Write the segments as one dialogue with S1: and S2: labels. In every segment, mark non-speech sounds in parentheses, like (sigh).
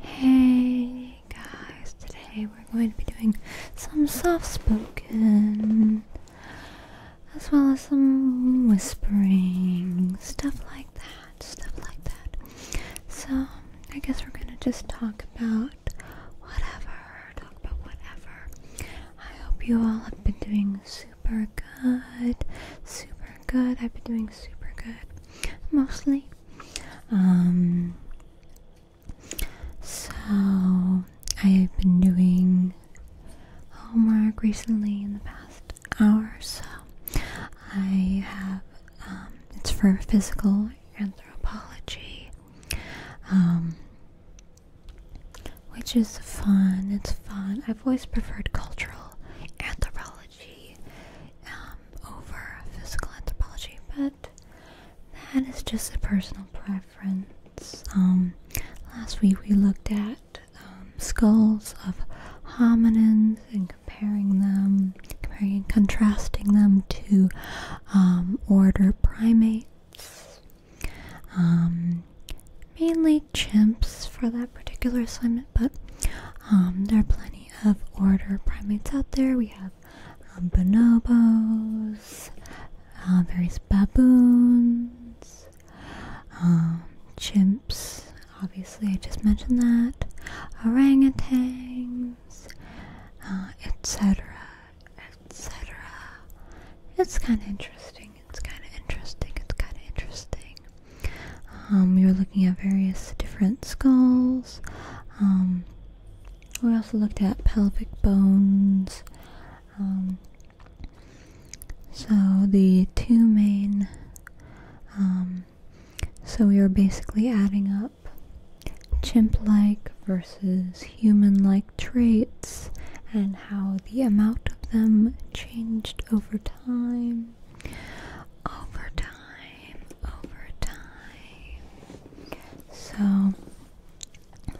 S1: Hey guys, today we're going to be doing some soft spoken as well as some whispering, stuff like that, stuff like that. So, I guess we're going to just talk about whatever, talk about whatever. I hope you all have been doing super good, super good. I've been doing super good mostly. Um, so I've been doing homework recently in the past hour so. I have um, it's for physical anthropology, um, which is fun. It's fun. I've always preferred cultural anthropology. Um, over physical anthropology, but that is just a personal preference. Um, last week we looked at um, skulls of hominins and comparing them, comparing and contrasting them to order primates. mainly chimps for that particular assignment, but um, there are plenty of order primates out there. We have um, bonobos, uh, various baboons, um, chimps. Obviously, I just mentioned that. Orangutans, etc., uh, etc. It's kind of interesting interesting. It's kind of interesting. It's kind of interesting. Um, you looking at various different skulls. Um, we also looked at pelvic bones. Um, so the two main. Um, so we are basically adding up chimp-like versus human-like traits and how the amount of them changed over time over time, over time. So,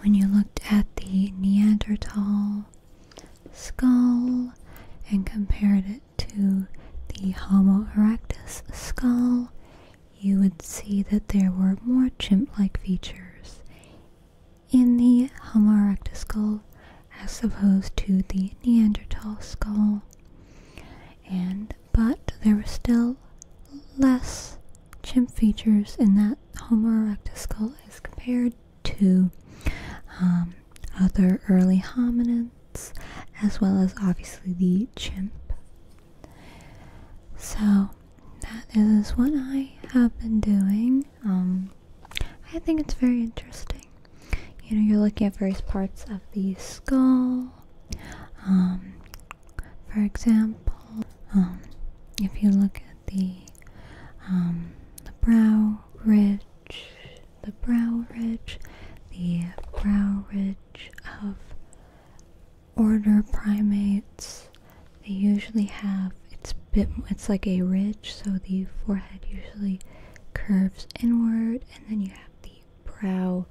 S1: when you looked at the Neanderthal skull and compared it to the Homo erectus skull, you would see that there were more chimp like features in the Homo erectus skull as opposed to the Neanderthal skull. And but there were still less chimp features in that Homo erectus skull as compared to um, other early hominids, as well as obviously the chimp. So that is what I have been doing. Um, I think it's very interesting. You know, you're looking at various parts of the skull. Um, for example, um, if you look at the um, the brow ridge, the brow ridge, the brow ridge of order primates, they usually have it's bit it's like a ridge so the forehead usually curves inward and then you have the brow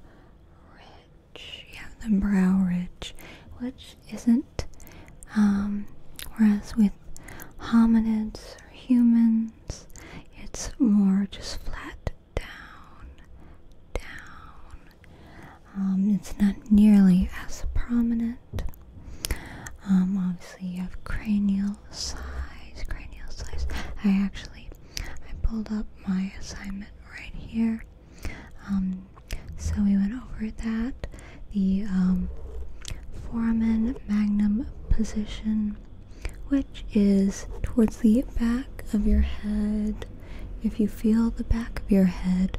S1: ridge you have the brow ridge which isn't um, whereas with hominids or humans it's more just flat down down um, it's not nearly as prominent. Um, obviously, you have cranial size, cranial size. I actually, I pulled up my assignment right here. Um, so we went over that, the foramen magnum position, which is towards the back of your head. If you feel the back of your head,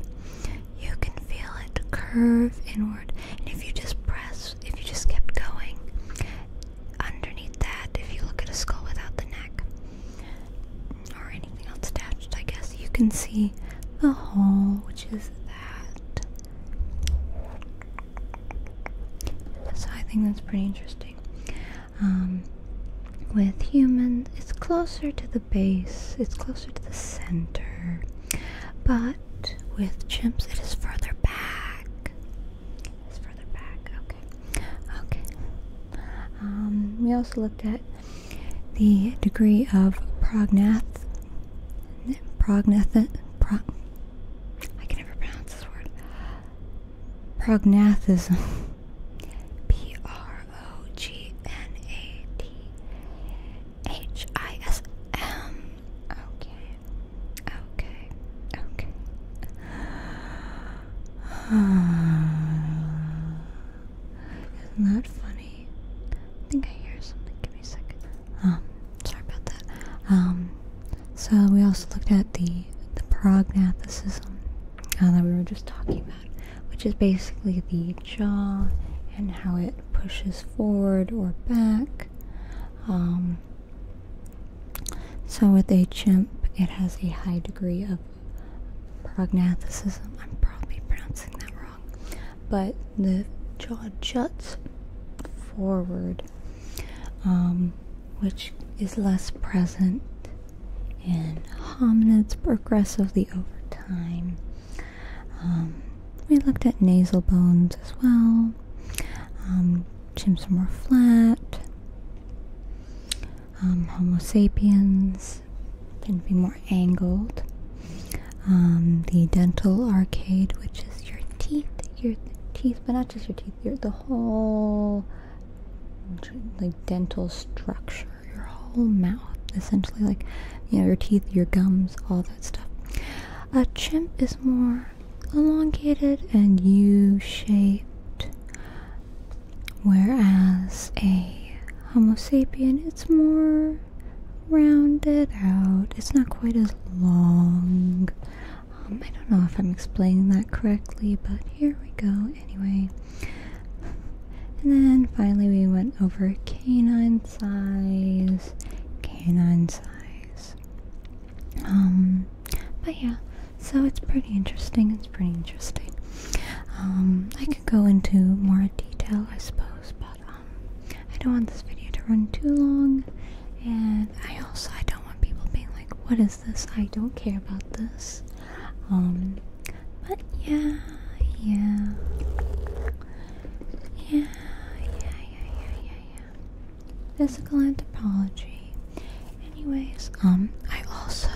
S1: you can feel it curve inward. And if you just press, if you just kept going underneath that, if you look at a skull without the neck or anything else attached, I guess you can see the hole, which is that. So I think that's pretty interesting. Um, with humans, it's closer to the base, it's closer to the center. But with chimps, it is further back. It's further back, okay. Okay. Um, we also looked at the degree of prognath. Prognath. Prog I can never pronounce this word. Prognathism. P R O G N A T H I S M. Okay, okay, okay. (sighs) Isn't that funny? I think I hear something. Give me a second. Um, sorry about that. Um, so we also looked at the the prognathicism uh, that we were just talking about, which is basically the jaw and how it pushes forward or back. Um, so with a chimp, it has a high degree of prognathism. I'm probably pronouncing that wrong, but the jaw juts forward, um, which is less present in hominids progressively over time. Um, we looked at nasal bones as well. Um, chimps are more flat. Um, Homo sapiens tend to be more angled. the dental arcade, which is your teeth, your teeth, but not just your teeth, your the whole like dental structure, your whole mouth, essentially, like you know, your teeth, your gums, all that stuff. A chimp is more elongated and U shaped, whereas a Homo sapien it's more rounded out, it's not quite as long. Um, I don't know if I'm explaining that correctly, but here we go anyway. And then finally we went over canine size, canine size. Um, but yeah, so it's pretty interesting. It's pretty interesting. Um, I could go into more detail, I suppose, but um, I don't want this video to run too long. And I also I don't want people being like, "What is is this? I don't care about this. Um, but yeah, yeah, yeah, yeah, yeah, yeah, yeah, yeah. Physical anthropology. Anyways, um, I also,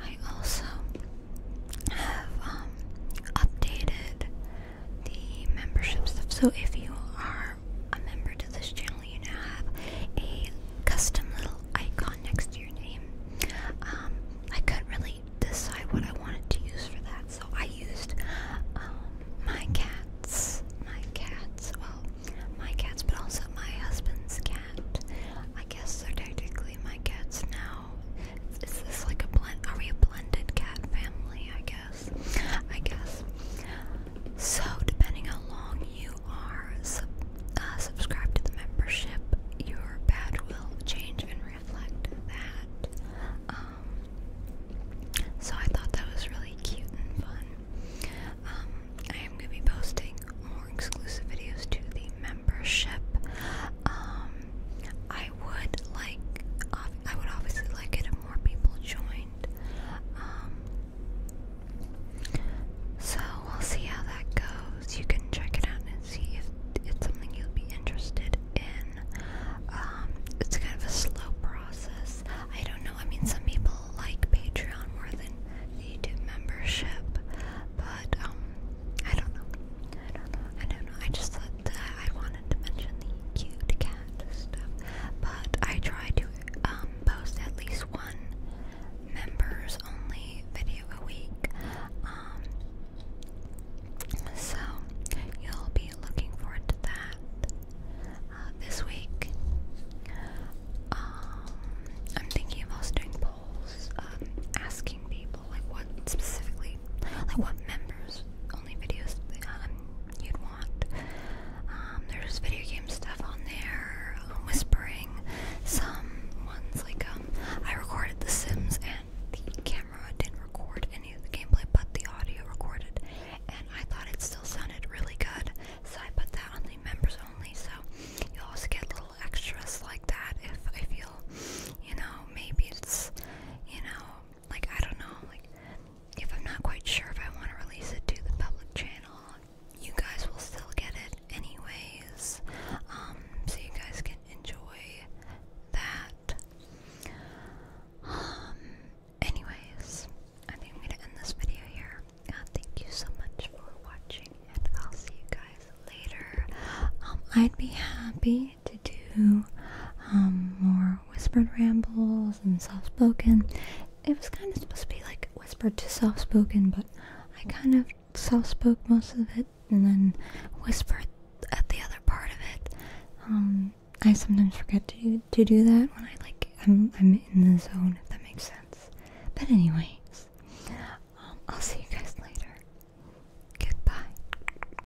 S1: I also have um updated the membership stuff. So if you are are a member to this channel, you now have a custom little icon next to your name. Um, I couldn't really decide what I wanted to use for that, so I used um, my cat's, my cat's, well, my cat's, but also my husband's cat. I guess they're technically my cats now. Is this like a blend? Are we a blended cat family? I guess. I guess. So, depending how long you are sub uh, subscribed to the membership, your badge will change and reflect that. Um, so, I thought that was really cute and fun. Um, I am going to be posting more exclusive videos to the membership. Um, I would like, I would obviously like it if more people join. Um, so we'll see how that goes. You can check it out and see if it's something you'll be interested in. Um, it's kind of a slow process. I don't know. I mean, some people like Patreon more than YouTube membership, but um, I don't know. I don't know. I don't know. I just thought that I wanted wanted to mention the cute cat stuff, but I try to um, post at least one members only video a week. Um, so you'll be looking forward to that uh, this week. Um, I'm thinking of also doing polls, asking people like what specifically, like what members only videos um, you'd want. Um, there's video game stuff on there, uh, whispering, some ones like um, I recorded The Sims and the camera didn't record any of the gameplay, but the audio recorded, and I thought it still sounded really good, so I put that on the members only. So you'll also get little extras like that if I feel, you know, maybe it's, you know, like I don't know, like if I'm not quite sure if I want to release it to the public channel, you guys will still get it anyways. Um, so you guys can enjoy that. Um, anyways, I think I'm gonna end this video here. Uh, thank you so much for watching, and I'll see you guys later. Um, I'd be happy to do um, more whispered rambles and soft spoken. It was kind of supposed to be like whispered to soft spoken, but I kind of soft spoke most of it and then whispered at the other part of it. Um, I sometimes forget to to do that when I like I'm I'm in the zone if that makes sense. But anyway, um, I'll see you guys later. Goodbye.